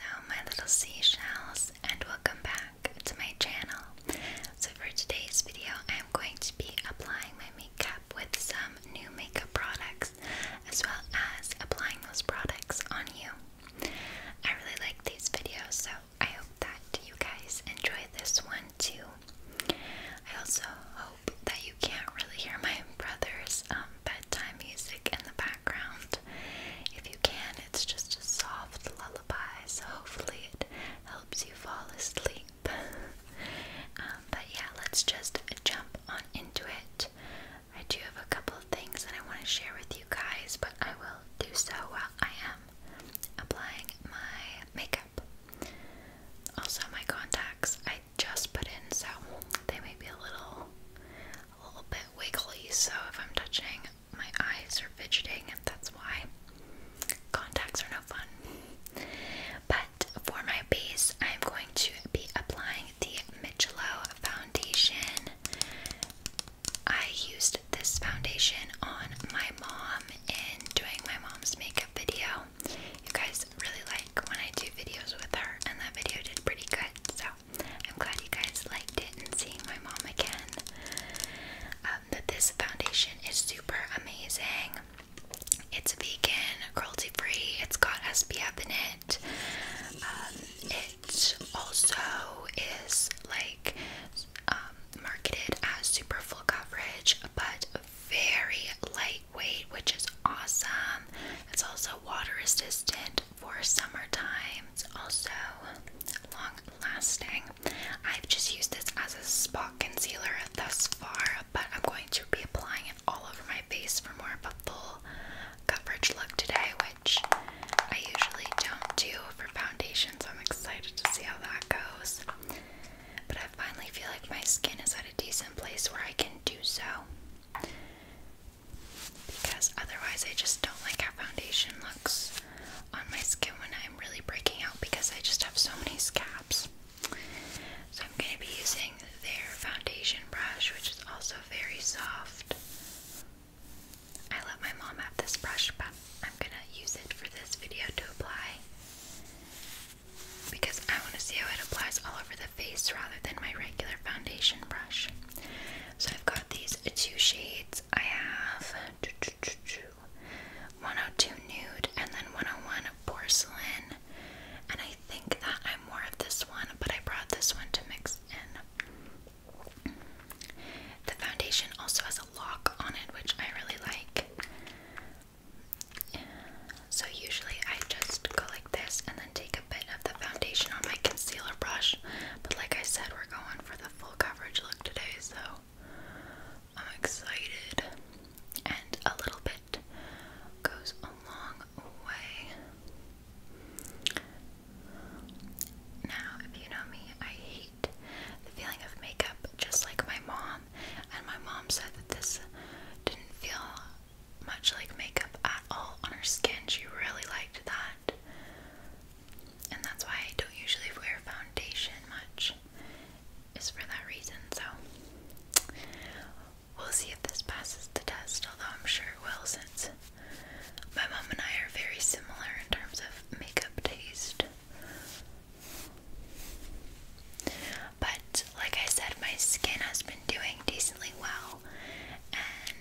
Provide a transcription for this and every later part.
Hello my little seashells and welcome back to my channel. So for today's video I am going to be applying my makeup with some new makeup products as well as applying those products on you. I really like these videos so I hope that you guys enjoy this one too. I also hope that you can't really hear my brother's um, bedtime music in the background. If you can, it's just a soft lullaby, so hopefully it helps you fall asleep. Um, but yeah, let's just jump on into it. I do have a couple of things that I want to share with you guys, but I will do so while I am applying my makeup. Also, my contacts I just put in, so they may be a little a little bit wiggly, so if I'm touching, my eyes are fidgeting, and that's why contacts are no fun. But for my base, I'm going to be applying the Michelob foundation. I used this foundation on my mom in doing my mom's makeup video. You guys really like when I do videos with her, and that video did pretty good, so I'm glad you guys liked it and seeing my mom again. Um, that this foundation is super amazing. It's vegan, cruelty free. It's got SPF in it. Um, it also is like um, marketed as super full coverage, but very lightweight, which is awesome. It's also water resistant, for summertime. It's also long lasting. I've just used this as a spot concealer thus far, but I'm going to be applying it all over my face for more of a full coverage look today, which I usually don't do for foundation, so I'm excited to see how that goes. But I finally feel like my skin is at a decent place where I can do so because otherwise I just don't like how foundation looks on my skin when I'm really breaking out because I just have so many scabs. So I'm going to be using their foundation brush, which is also very soft. I let my mom have this brush, but I'm going to use it for this video to apply because I want to see how it applies all over the face rather than my regular foundation brush. So I've got these two shades. I have 102 nude and then 101 porcelain. And I think that I'm more of this one, but I brought this one to mix in. The foundation also has a lock on it, which I really like. So usually I just go like this and then take bit of the foundation on my concealer brush, but like I said, we're going for the full coverage look today, so I'm excited. And a little bit goes a long way. Now, if you know me, I hate the feeling of makeup, just like my mom. And my mom said that this didn't feel much like makeup all on her skin. She really liked that. And that's why I don't usually wear foundation much, is for that reason. So, we'll see if this passes the test, although I'm sure it will, since my mom and I are very similar in terms of makeup taste. But, like I said, my skin has been doing decently well, and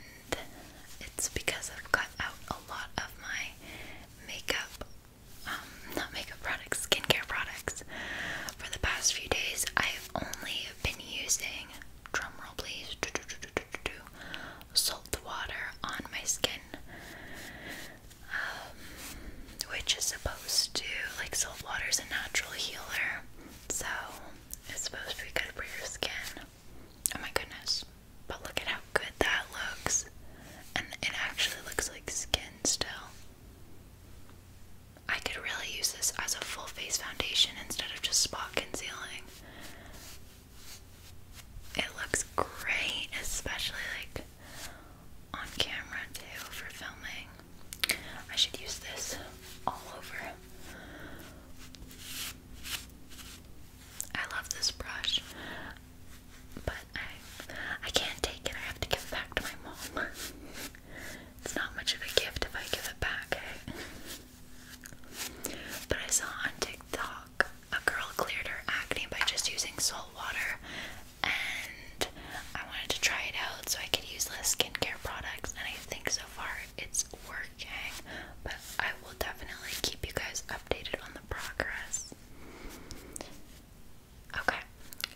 it's because I've cut out a lot of my makeup, um, not makeup products, skincare products. For the past few days, I have only been using, drumroll please, do, do, salt water on my skin. Um, which is supposed to, like, salt water is a natural healer, so it's supposed to be good for your skin. Oh my goodness. But look at how good that looks. And it actually looks like skin still. I could really use this as a full face foundation instead of just spot concealing. It looks great, especially like on camera too for filming. I should use this all over. I love this brush, but I I can't take it. I have to give it back to my mom. it's not much of a gift if I give it back. Eh? But I saw on TikTok a girl cleared her acne by just using salt water, and I wanted to try it out so I could use less skincare products. And I think so far it's working. Okay, but I will definitely keep you guys updated on the progress. Okay,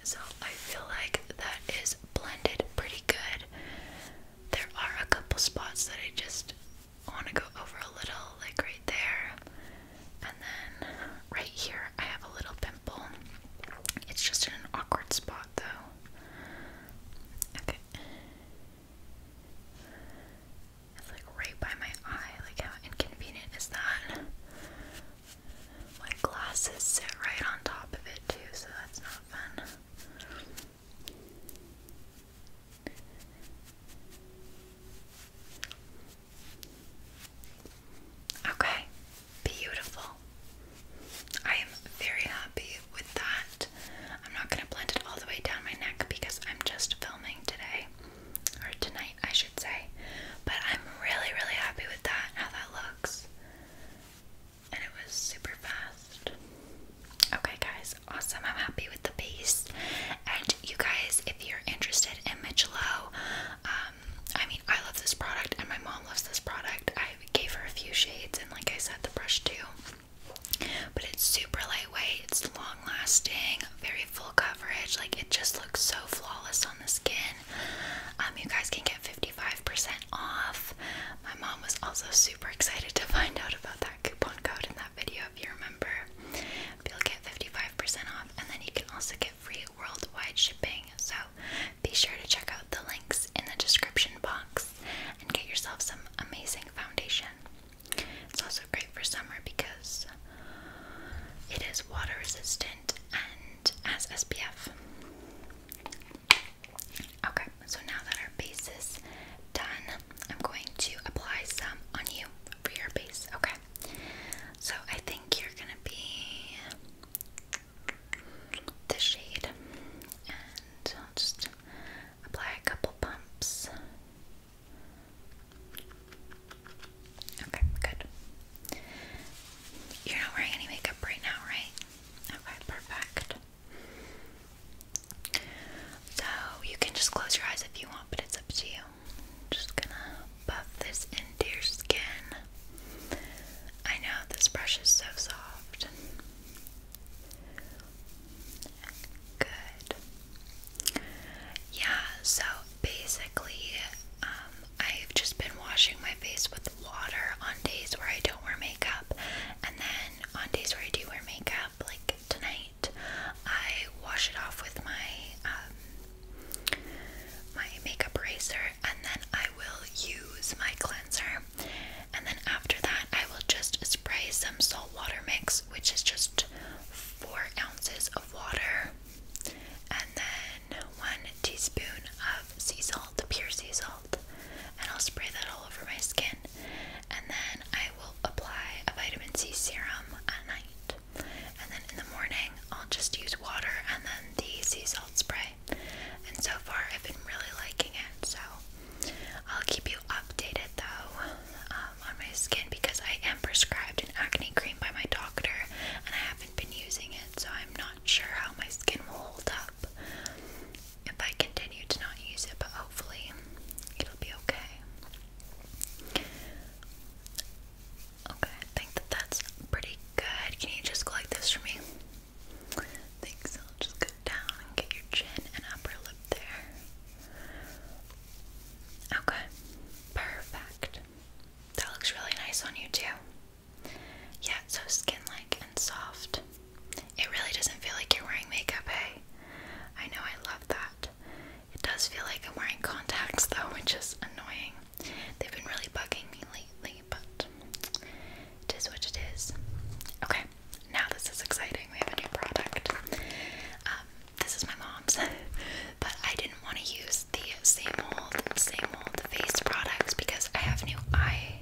so I feel like that is blended pretty good. There are a couple spots that I just want to go over a little, like right there, and then right here I have a little pimple. It's just an awkward spot though. Okay. It's like right by my eye. Like, how inconvenient is that? My glasses sit right on top of it, too, so that's not fun. Okay, beautiful. I am very happy with that. I'm not gonna blend it all the way down my neck because I'm just filming today, or tonight, I should say. But I'm really, really happy with that, how that looks. And it was super fast. Okay, guys, awesome. I'm happy with the piece. And you guys, if you're interested in Michelot, um, I mean, I love this product, and my mom loves this product. I gave her a few shades, and like I said, the brush too. But it's super lightweight, it's long lasting, very full coverage. Like it just looks so flawless on the skin. Um, you guys can get 55% off. My mom was also super excited to find out about that coupon code in that video if you remember. But you'll get 55% off, and then you can also get free worldwide shipping. So be sure to check out the links in the description box and get yourself some amazing foundation. It's also great for summer because it is water resistant and has SPF. Okay, so now that our base is done, I'm going to apply some on you for your base. Okay, so I think you're gonna be the shade, and I'll just Apply a couple pumps. Okay, good. You're not wearing any makeup right now, right? Okay, perfect. So you can just close your eyes if you want, but it's up to you. just gonna buff this into your skin. I know this brush is so soft. Good. Yeah, so basically, um, I've just been washing my face with water on days where I don't wear makeup, and then on days where I do wear makeup, like tonight, I wash it off with my um, my makeup eraser, and then I will use my cleanser and then after that I will just spray some salt water mix which is just four ounces of water and then one teaspoon of sea salt, pure sea salt and I'll spray that all over my skin and then I will apply a vitamin C serum at night and then in the morning I'll just use water and then the sea salt spray and so far I've been really liking it so I'll keep you updated though um, on my skin because I am prescribed an acne cream by my doctor and I haven't been using it, so I'm not sure how my skin will hold up if I continue to not use it, but hopefully it'll be okay. Okay, I think that that's pretty good. Can you just collect this for me? Thanks down and get your chin and upper lip there. Okay, perfect. That looks really nice on you, too. Yeah, so skin like and soft. It really doesn't feel like you're wearing makeup, hey. I know, I love that. It does feel like I'm wearing contacts, though, which is annoying. They've been really bugging me lately, but it is what it is. Okay, now this is exciting. We have a new product. Um, this is my mom's, but I didn't want to use the same old, same old face products because I have a new eye,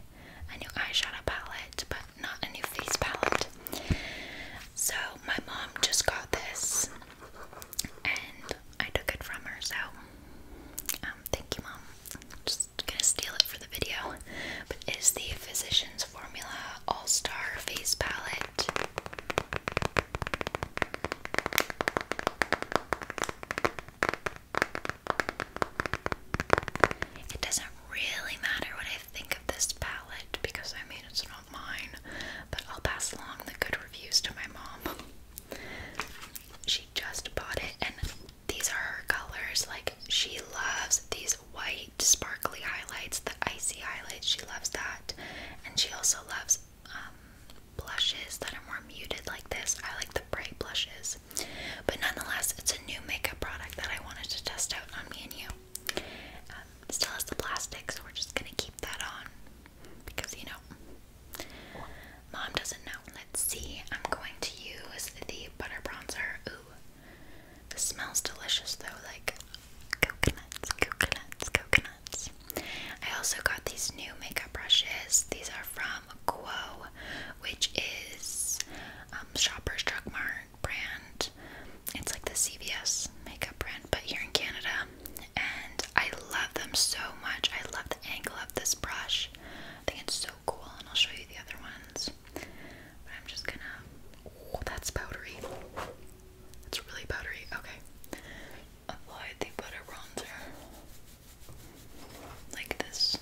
a new eyeshadow palette, but not a new face palette. So my mom just got this, and I took it from her. So, um, thank you, mom. just gonna steal it for the video but is the Physicians Formula All Star Face Palette. It doesn't really matter what I think of this palette because I mean it's not mine, but I'll pass along the good reviews to my mom. she just bought it and these are her colors like she loves these white sparkly highlights, the icy highlights. She loves that. And she also loves um, blushes that are more muted like this. I like the bright blushes. But nonetheless, it's a new makeup product that I wanted to test out on me and you. Um, still has the plastic, so we're just going to keep that on. Because, you know, mom doesn't know. Let's see. I'm going to use the butter bronzer. Ooh, this smells delicious though, like coconuts, coconuts, coconuts. I also got these new makeup brushes. These are from Quo, which is um, Shoppers Drug Mart brand. It's like the CVS makeup brand, but here in Canada. And I love them so much. I love the angle of this brush. I think it's so cool, and I'll show you the other ones. I'm just gonna. Oh, that's powdery. It's really powdery. Okay. Apply the butter bronzer. Like this.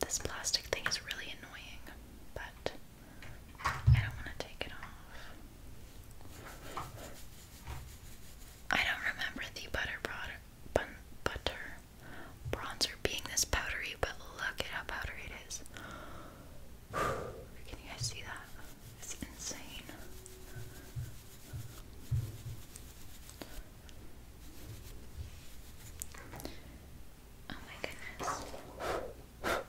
This plastic thing is really annoying, but I don't want to take it off. I don't remember the butter bronzer being this powdery, but look at how powdery it is. Can you guys see that? It's insane. Oh my goodness.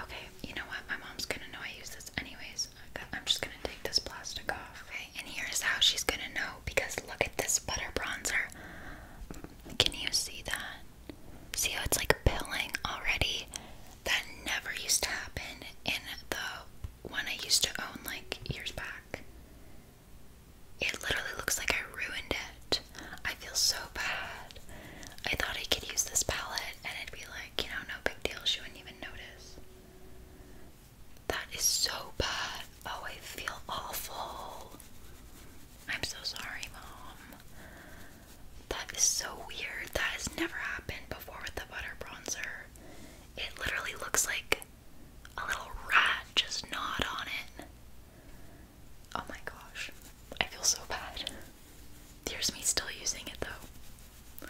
Okay, you know what? My mom's gonna know I use this anyways. I'm just gonna take this plastic off. Okay, and here's how she's gonna know because look at this butter bronzer. Can you see that? See how it's like pilling already? That never used to happen in the one I used to own like years back. It literally looks like I ruined it. I feel so bad. I thought I could use this palette and it'd be like, you know, no big deal. She wouldn't even notice. That is so bad. Oh, I feel awful. I'm so sorry, Mom. That is so weird. That has never happened before with the butter bronzer. It literally looks like a little rat just gnawed on it. Oh my gosh. I feel so bad. Here's me still using it though.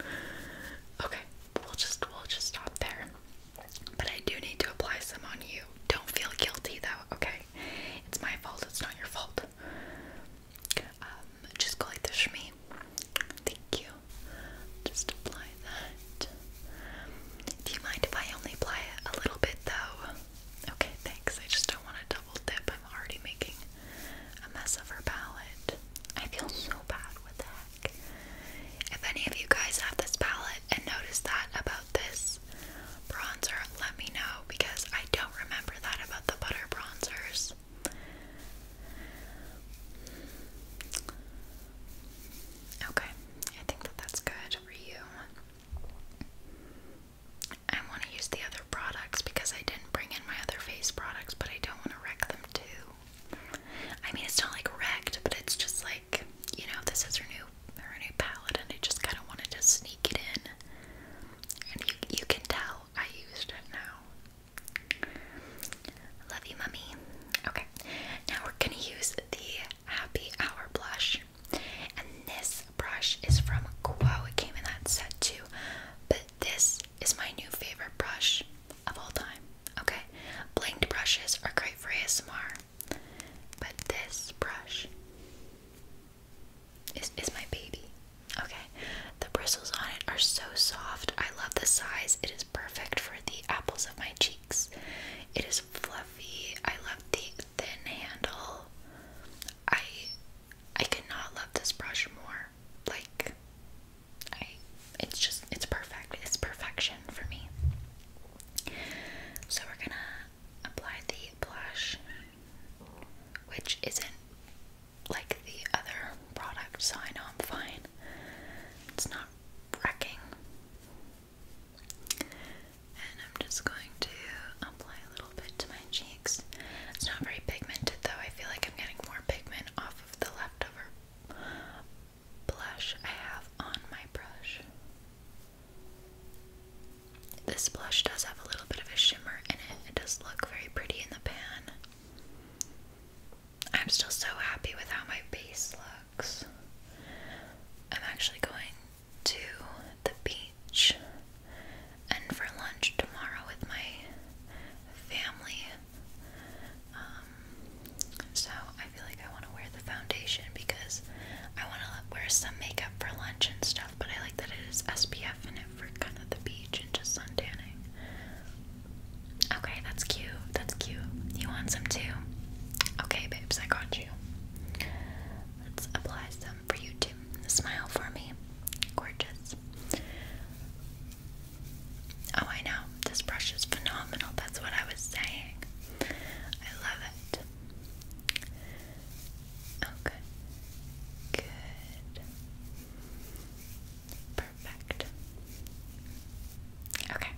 Okay, we'll just we'll just stop there. But I do need to apply some on you. Don't feel guilty though, okay? It's my fault, it's not your fault. Um, just go like this for me. Thank you. Just apply that. Do you mind if I only apply it a little bit though? Okay, thanks. I just don't want to double dip. I'm already making a mess of her palette. I feel so bad. What the heck? If any of you guys have this palette and notice that about this bronzer, let me know because I don't remember that about the butter bronzers. Okay, I think that that's good for you. I want to use the other products because I didn't bring in my other face products, but I don't want to wreck them too. I mean, it's not like wrecked, but it's just like, you know, this is her new Marini palette and I just kind of wanted to sneak it in. And you, you can tell I used it now. Love you, mummy. Okay, now we're gonna use the Happy Hour blush. And this brush is from Quo. It came in that set too. But this is my new favorite brush of all time. Okay, blinged brushes are great for ASMR. But this brush is, is my baby. Okay, the bristles on it are so soft. I love the size. It is perfect for the apples of my cheeks. It is fluffy. I love the thin handle. I I cannot love this brush more. Like I it's just it's perfect. It's perfection for me. So we're gonna apply the blush, which isn't like the other product, so I am fine. It's not wrecking. And I'm just going to apply a little bit to my cheeks. It's not very pigmented though. I feel like I'm getting more pigment off of the leftover blush I have on my brush. This blush does have a little bit of a shimmer in it. It does look very pretty in the pan. I'm still so happy with how my base looks. I'm actually going to the beach and for lunch tomorrow with my family. Um, so I feel like I want to wear the foundation because I want to wear some makeup for lunch and stuff but I like that it is SPF in it for kind of the beach and just sun tanning. Okay, that's cute. That's cute. You want some too? Okay, babes, I got you. Let's apply some for you too. Smile for me. Gorgeous. Oh, I know. This brush is phenomenal. That's what I was saying. I love it. Okay. Good. Perfect. Okay.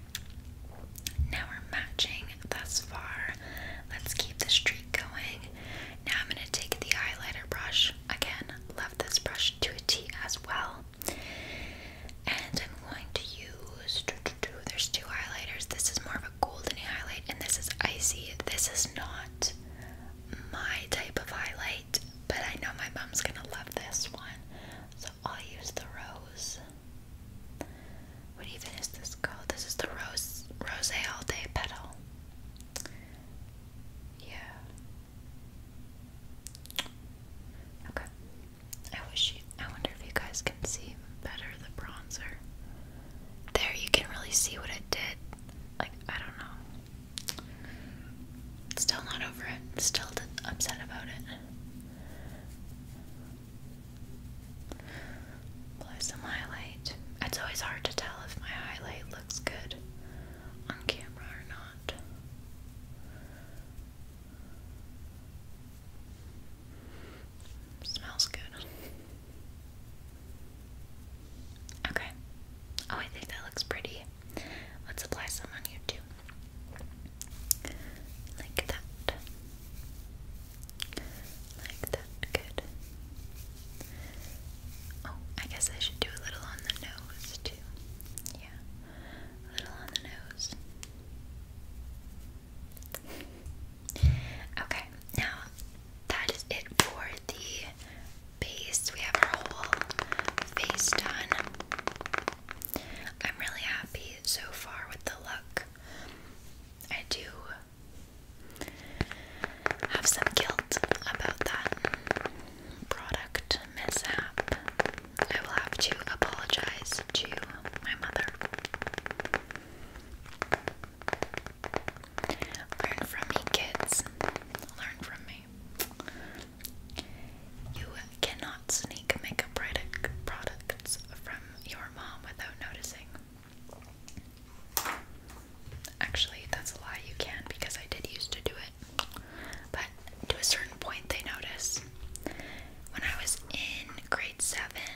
Now we're matching thus far. Let's keep the streak going. Now I'm going to take the highlighter brush. Again, love this brush to a T as well. And I'm going to use. There's two highlighters. This is more of a golden highlight, and this is icy. This is not my type of highlight, but I know my mom's gonna love this one, so I'll use the rose. What even is this called? This is the rose, rose all day petal. Yeah. Okay. I wish you. I wonder if you guys can see better the bronzer there you can really see what it did. Like, I don't know. Still not over it. Still upset about it. Apply some highlight. It's always hard to tell if my highlight looks good on camera or not. Smells good. Okay. Oh, I think that looks pretty. Let's apply some on you too. Like that. Like that. Good. Oh, I guess I should do a little on the nose too. Yeah. A little on the nose. Okay, now that is it for the base. We have our whole face done. I'm really happy so far with the look. I do have some guilt about that product mishap. I will have to apologize to my mother. Learn from me, kids. Learn from me. You cannot sneak makeup product products from your mom without noticing. Actually, that's a lie. You can because I did used to do it, but to a certain point, they notice. When I was in grade seven,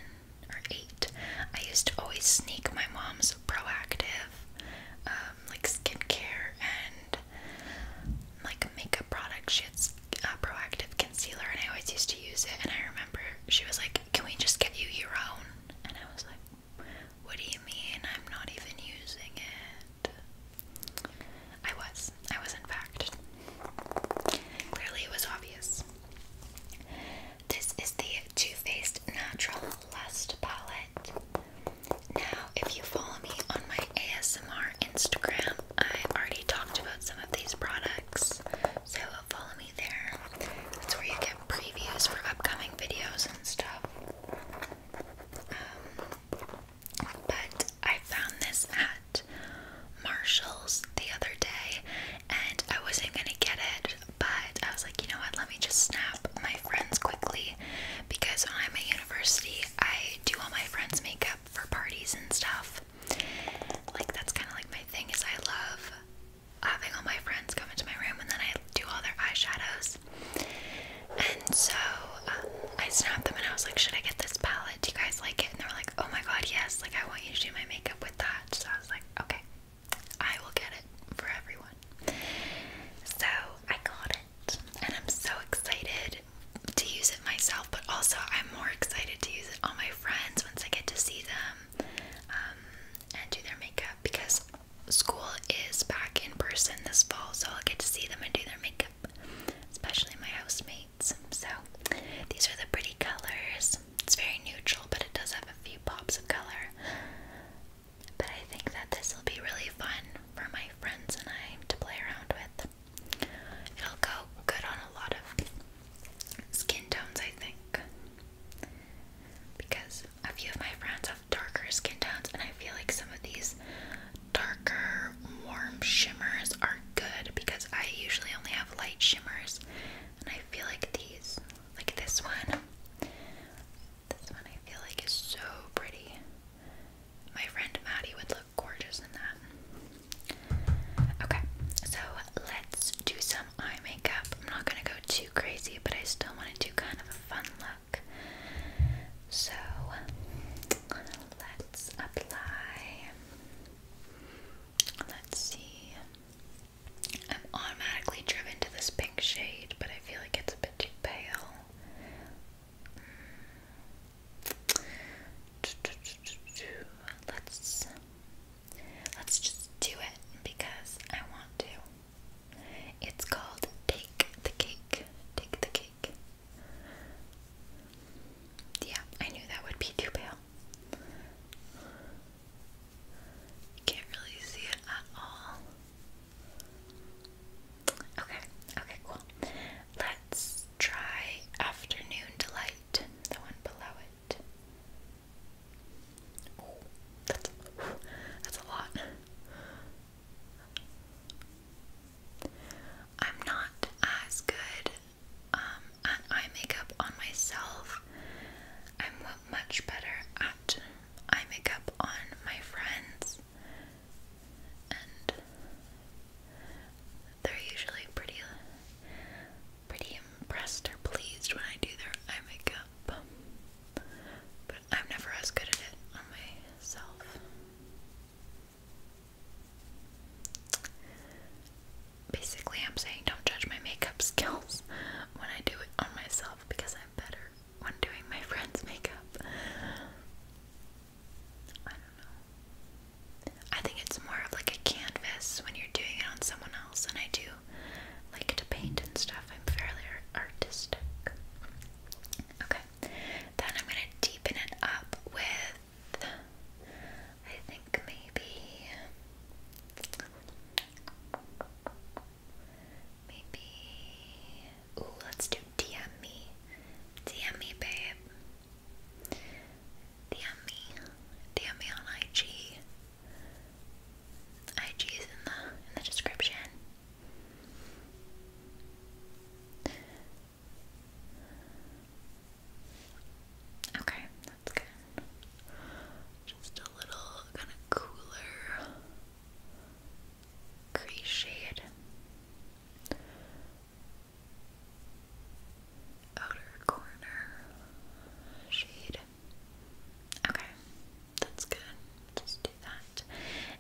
or eight, I used to always sneak my mom's proactive, um, like skincare and like makeup products. She had a uh, proactive concealer, and I always used to use it. And I remember she was like, "Can we just get you your own?" And I was like, "What do you mean? I'm not even using it." I was. I was in fact. Clearly, it was obvious. This is the Too Faced Natural Lust Palette. Now, if you follow me on my ASMR Instagram, I already talked about some of these products, so follow me there. That's where you get previews for upcoming videos and stuff. Um, but I found this at Marshall's the other day, and I wasn't gonna get it, but I was like, you know what, let me just snap my friends quickly because when I'm at university, I do all my friends' makeup for parties and stuff. Like, that's kind of like my thing is I love having all my friends come into my room and then I do all their eyeshadows. And so um, I snapped them and I was like, should I get this palette? Do you guys like it? And they were like, oh my god, yes, like I want you to do my makeup with that. So I was like, okay, I will get it for everyone. So I got it, and I'm so excited to use it myself, but also I'm more excited to use it on my friends once I get to see them um, and do their makeup because school is back in person this fall, so I'll get to see them and do their makeup, especially my housemates. So these are the pretty colors. It's very neutral, but it does have a few pops of color. But I think that this will be really fun for my friends and I to play around with. It'll go good on a lot of skin tones, I think. Because a few of my friends have darker skin tones, and I feel like some of these darker, warm shimmers are good because I usually only have light shimmers, and I feel like these like this one. This one I feel like is so pretty. My friend Maddie would look gorgeous in that. Okay, so let's do some eye makeup. I'm not gonna go too crazy, but I still want to do kind of a fun look. So let's apply. Let's see. I'm automatically driven to this pink shade, but I feel like it's a bit too pale. Let's let's just do it because I want to. It's called Take the Cake. Take the Cake. Yeah, I knew that would be too pale. Can't really see it at all. Okay, okay, cool. Let's try Afternoon Delight, the one below it. that's, a lot. I'm not as good um, at eye makeup on myself I'm much better at eye makeup on my friends, and they're usually pretty, pretty impressed or pleased when I do their eye makeup. But I'm never as good at it on myself. Basically, I'm saying don't judge my makeup skills when I do it on myself because I'm better when doing my friend's makeup. I don't know. I think it's more of like a canvas when you're doing it on someone else, and I do like to paint and stuff. I'm fairly artistic. Okay, then I'm gonna deepen it up with, I think maybe. Maybe. Ooh, let's do DM me. DM me, babe. DM me. DM me on IG. IG is in the in the description. Okay, that's good. Just a little kind of cooler gray shade. Outer corner shade. Okay, that's good. Just do that.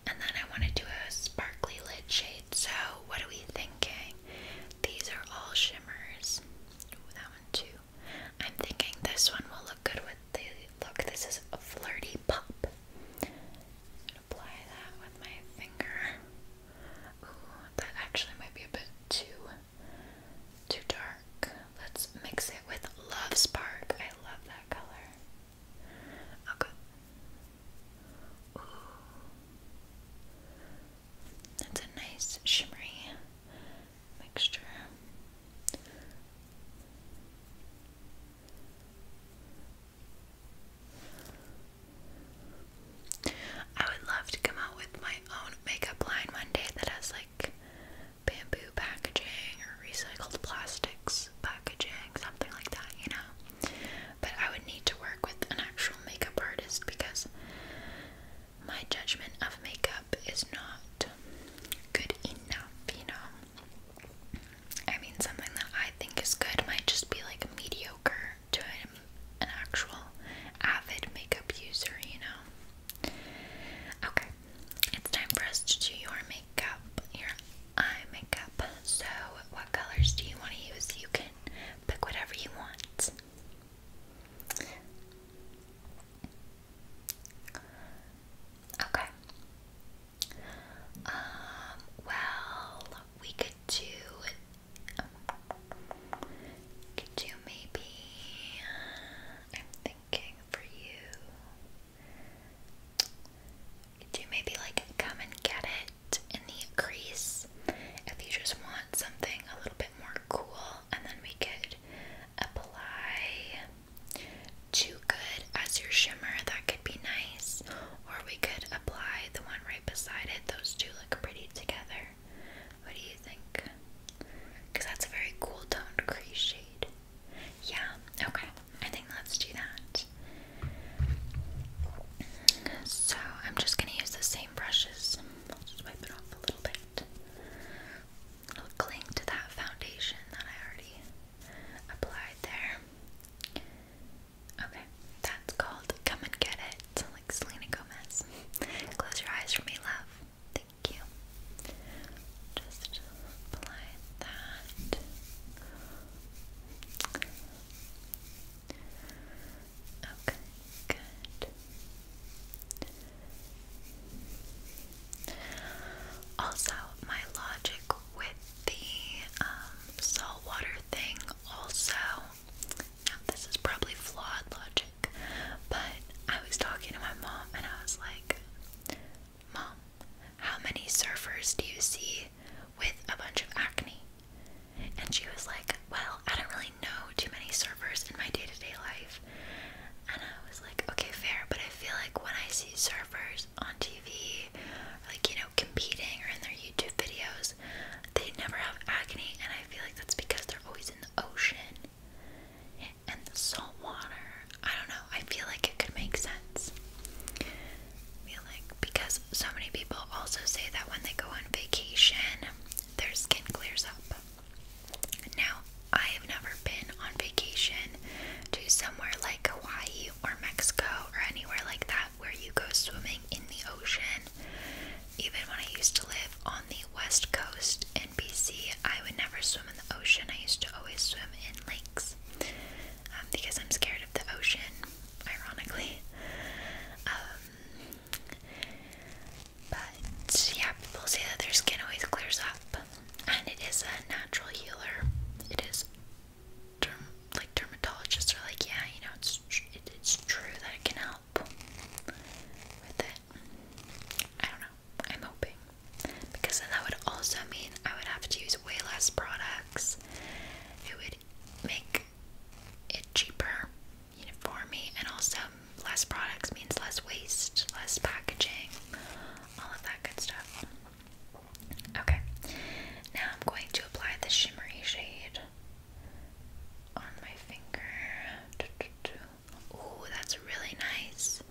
And then I want to do a sparkly lid shade. So, what are we thinking? These are all shimmers. that one too. I'm thinking this one will look good with the look. This is a flirty pop. apply that with my finger. Ooh, that actually might be a bit too too dark. Let's mix it with Love Spark. I love that color. Okay. Ooh. That's a nice shimmery mixture. I would love to come out with my own makeup line one day that has like bamboo packaging or recycled plastics packaging, something like that, you know. But I would need to work with an actual makeup artist because my judgment of makeup is not good enough, you know. I mean, something that I think is good might just be like mediocre to an actual avid makeup user, you know. Okay, it's time for us to do your makeup, your eye makeup. So, what colors do you want to use? You can pick whatever you want. Okay. Um, well, we could do could do maybe I'm thinking for you. Could do maybe like come and get it in the crease if you just want something a little bit more cool and then we could apply too good as your shimmer. That could be nice. Or we could apply the one right beside it. Those two look pretty together. What do you think? Because that's a very cool toned crease shade. Yeah, okay. I think let's do that. So I'm just going to use the same brushes. I'll just wipe it off a little bit. I'll cling to that foundation that I already applied there. Okay, that's called Come and Get It, like Selena Gomez. Close your eyes for me, love. Thank you. Just apply that. Okay, good. Also, my logic with the um, saltwater thing, also, now this is probably flawed logic, but I was talking to my mom and I was like, Mom, how many surfers do you see with a bunch of acne? And she was like, Well, I don't really know too many surfers in my day to day life. And I was like, okay, fair, but I feel like when I see surfers on TV, like, you know, competing or in their YouTube videos, they never have acne, and I feel like that's because they're always in the ocean and the salt water. I don't know, I feel like it could make sense. I feel like because so many people also say that when they go on vacation, their skin clears up. Now, I have never been on vacation to somewhere like Hawaii or Mexico or anywhere like that where you go swimming in the ocean. Even when I used to live on the west coast in BC, I would never swim in the ocean. I used to always swim in lakes um, because I'm scared of the ocean, ironically. Um, but yeah, people say that their skin always clears up, and it is a natural healer. It is, like dermatologists are like, yeah, you know, it's it's true that it can help with it. I don't know. I'm hoping because then that would also mean I would have to use way less products. It would make it cheaper for me, and also less products means less waste, less packaging, all of that good stuff. Okay, now I'm going to apply the shimmery shade on my finger. Ooh, that's really nice.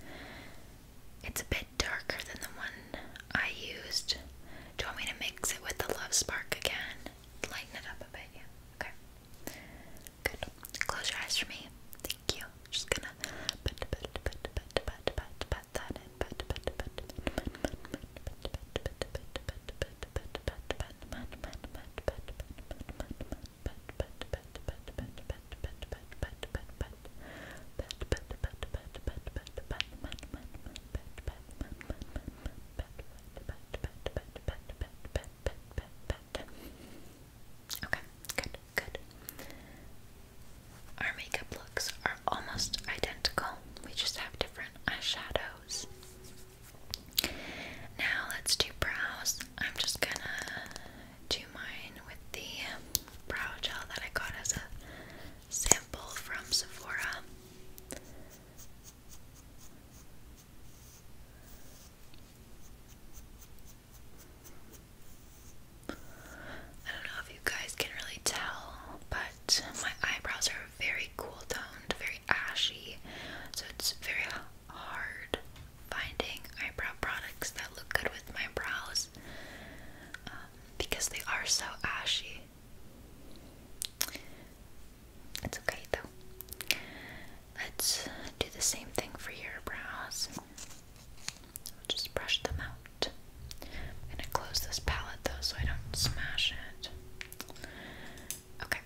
It's a bit darker than the one I used. Do you want me to mix it with the Love Spark again? Lighten it up a yeah. Okay. Close your eyes for me. Thank you. Just gonna Okay, good, good. Our makeup looks are almost identical, we just have different eyeshadows. Now let's do brows. I'm just gonna do mine with the brow gel that I got as a sample from Sephora. I don't know if you guys can really tell, but my eyebrows are very cool toned, very ashy, so it's very hard finding eyebrow products that look good with my brows um, because they are so ashy. It's okay though. Let's do the same thing for your brows. just brush them out. I'm gonna close this palette though so I don't smash it. Okay,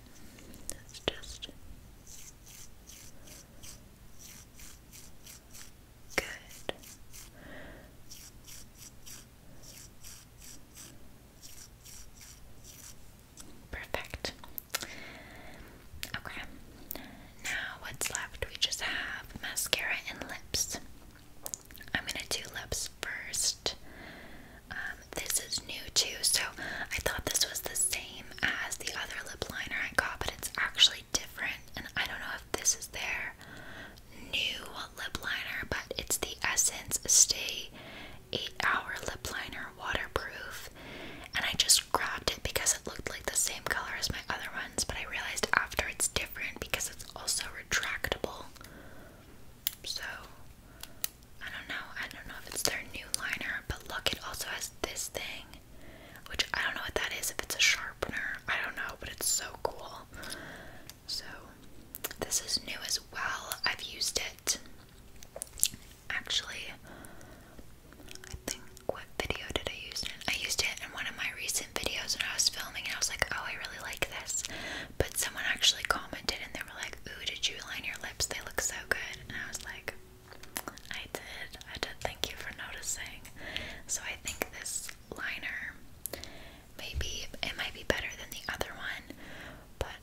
let's just. Good. Perfect. Okay. Now what's left? We just have mascara and lips. I'm gonna do lips first. Um, this is new too, so I thought this was the same as the other lip liner I got, but it's actually different. And I don't know if this is their new lip liner, but it's the Essence Stay 8 Hour Lip Liner Waterproof. And I just grabbed it because it looked like the same color as my other ones, but I realized after it's different because it's also retractable. So, I don't know. I don't know if it's their new liner, but look, it also has this thing, which I don't know what that is, if it's a sharpener. I don't know, but it's so cool. So, this is new as well. I've used it actually I think what video did I use it in? I used it in one of my recent videos when I was filming and I was like, oh, I really like this. But someone actually commented and they were like, ooh, did you line your lips? They look so good. And I was like, I did. I did. Thank you for noticing. So I think this liner, maybe it might be better than the other one, but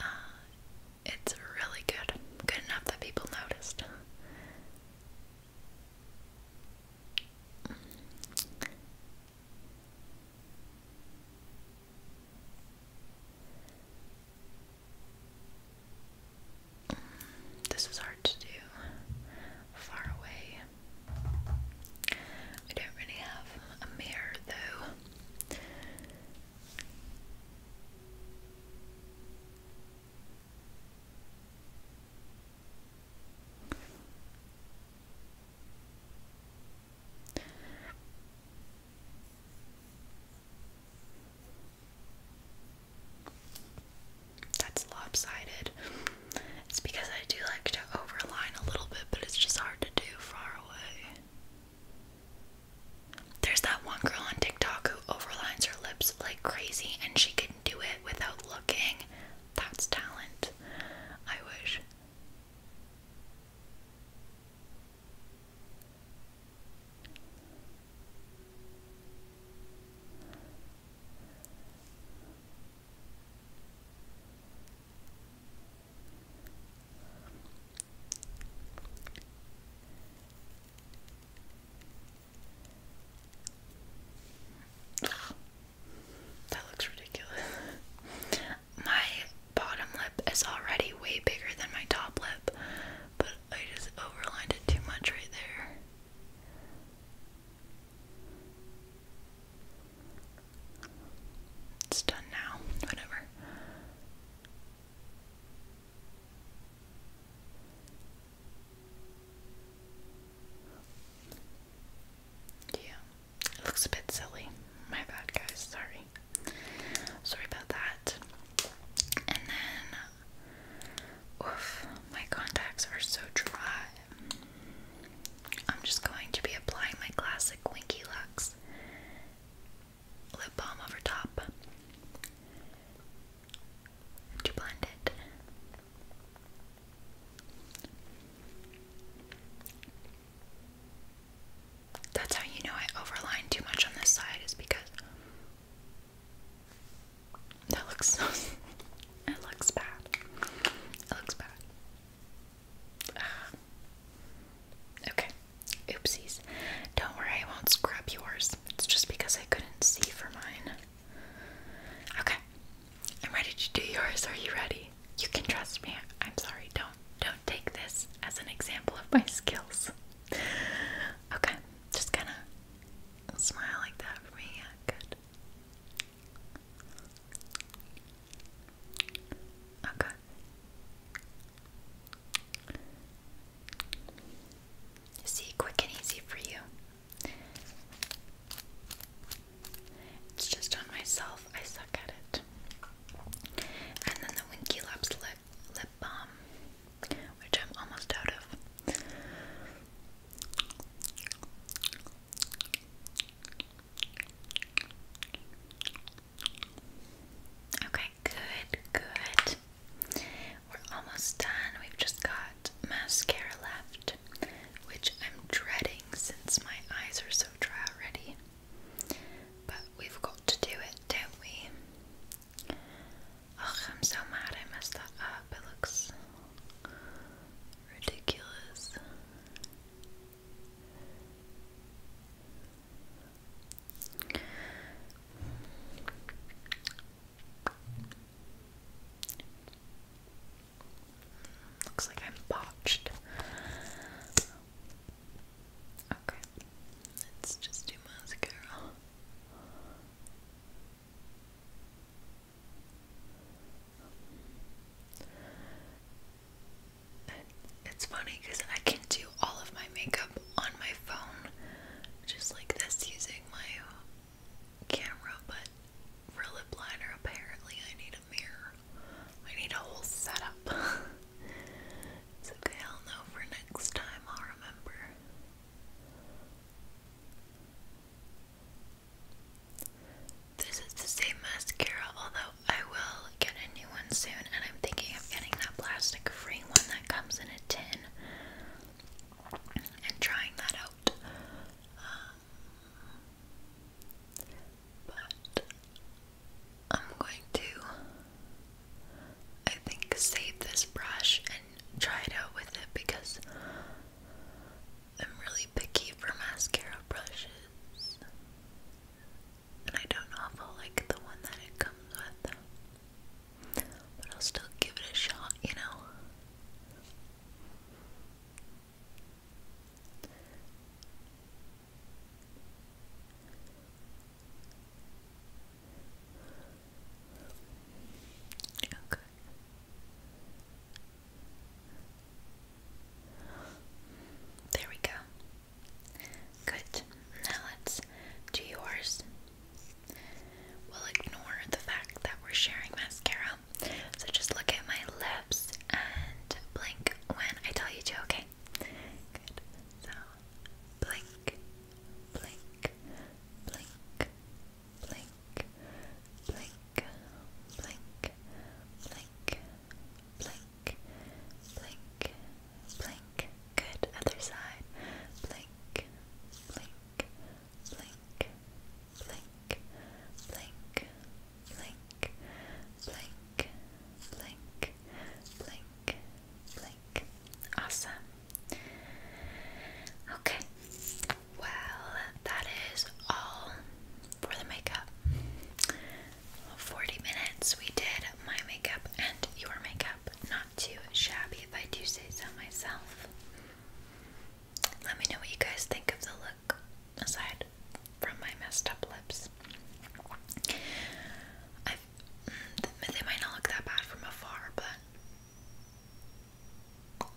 uh, it's really good. Good enough that people noticed. This is hard to do far away. I don't really have a mirror though. That's lopsided. It's because I do like to overline a little bit, but it's just hard to do far away. There's that one girl on TikTok who overlines her lips like crazy and she can do it without looking. That's talent. I wish. That looks ridiculous. My bottom lip is already way bigger than my top lip, but I just overlined it too much right there. It's done now, whatever. Yeah, it looks a bit silly. My bad, guys. Sorry. Sorry about that. And then, oof, my contacts are so dry. I'm just going to be applying my classic Winky Lux lip balm over top to blend it. That's how you know I overline too much on this side is because that looks it looks bad. It looks bad. Ah. okay. Oopsies. Don't worry, I won't scrub yours it's just because I couldn't see for mine. Okay. I'm ready to do yours. Are you ready? You can trust me. I'm sorry. Don't don't take this as an example of my skills. Okay. Just kind of smile like that for me. Yeah, good. Okay. See, quick and easy for you. It's just on myself. I suck at it. And then the Winky Labs lip, lip balm, which I'm almost out of. Okay, good, good. We're almost done. We've just got mascara left, which I'm dreading since my eyes are so dry already. But we've got to do it, don't we? Oh, I'm so mad I messed that up. It looks ridiculous. Looks like I'm botched. Okay, let's just do mascara. It's funny because I can do all of my makeup on my phone just like this using my camera, but for lip liner, apparently I need a mirror. I need a whole setup. it's okay, i for next time, I'll remember. This is the same mascara, although I will get a new one soon, and I'm thinking of getting that plastic free one that comes in a tin and trying that out. Um, but I'm going to, I think, save this brush and try it out with it because I'm really picky for mascara brushes. And I don't know like the one that it comes with. But I'll still give it a shot, you know? Okay. There we go. Good. Now let's do yours. We'll ignore the fact that we're sharing mascara. So just look at my lips and blink when I tell you to, okay? Good. So blink, blink, blink, blink, blink, blink, blink, blink, blink, blink. Good. Other side. Blink, blink blink, blink, blink, blink, blink, blink, blink, blink. Awesome. Okay. Well, that is all for the makeup. 40 minutes we did my makeup and your makeup too shabby if I do say so myself. Let me know what you guys think of the look, aside from my messed up lips. Mm, they might not look that bad from afar, but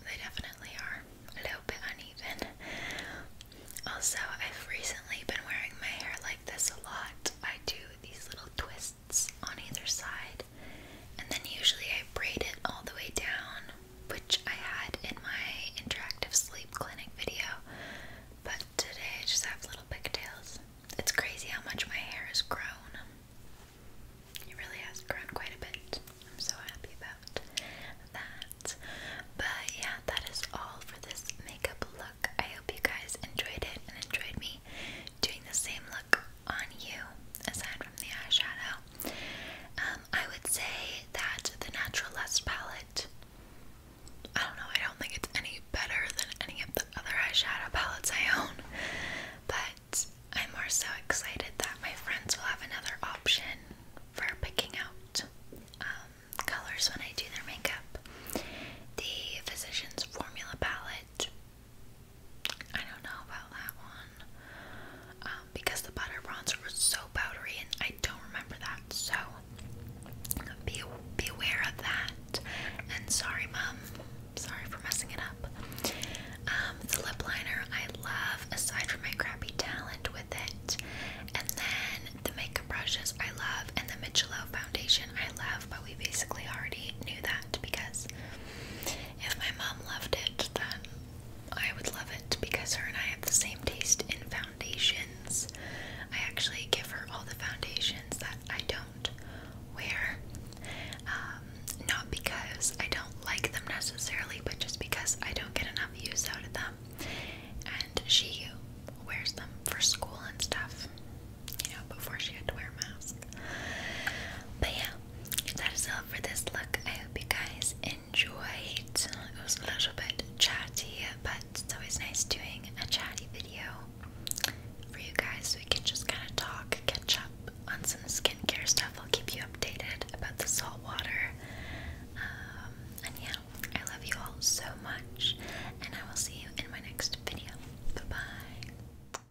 they definitely are a little bit uneven. Also, I've recently been wearing my hair like this a lot. I do these little twists on either side, and then usually I braid it all the way down, which I had in my interactive sleep clinic video. But today I just have little pigtails. It's crazy how much my hair has grown. It really has grown quite a bit. I'm so happy about that. But yeah, that is all for this makeup look. I hope you guys enjoyed it and enjoyed me doing the same look on you aside from the eyeshadow. Um, I would say that the Naturalist palette, I don't know, I don't think it's any better than any of the other eyeshadow palettes I own, but I'm more so excited that my friends will have another option for picking out um, colors when I do their makeup. The Physicians Formula palette I don't know about that one um, because the butter bronzer was so powdery, and I don't remember that. So be beware of that. And sorry, mom, sorry for messing it up. Um, the lip liner I love, aside from my crappy talent with it, and then the makeup brushes I love, and the Michelob foundation I love, but we basically already knew that because if my mom loved it, then I would love it because her and I have the same taste in foundations. I actually give her all the foundations that I don't wear. Um, not because I don't like them necessarily, but just because I don't get enough use out of them. And she wears them for school and stuff, you know, before she had to wear a mask. But yeah, that is all for this look. I hope you guys enjoyed. It was a little bit chatty, but it's always nice doing a chatty video for you guys so we can just kind of talk, catch up on some skincare stuff. I'll keep you updated about the salt water. Um, and yeah, I love you all so much, and I will see you in my next video. Bye bye.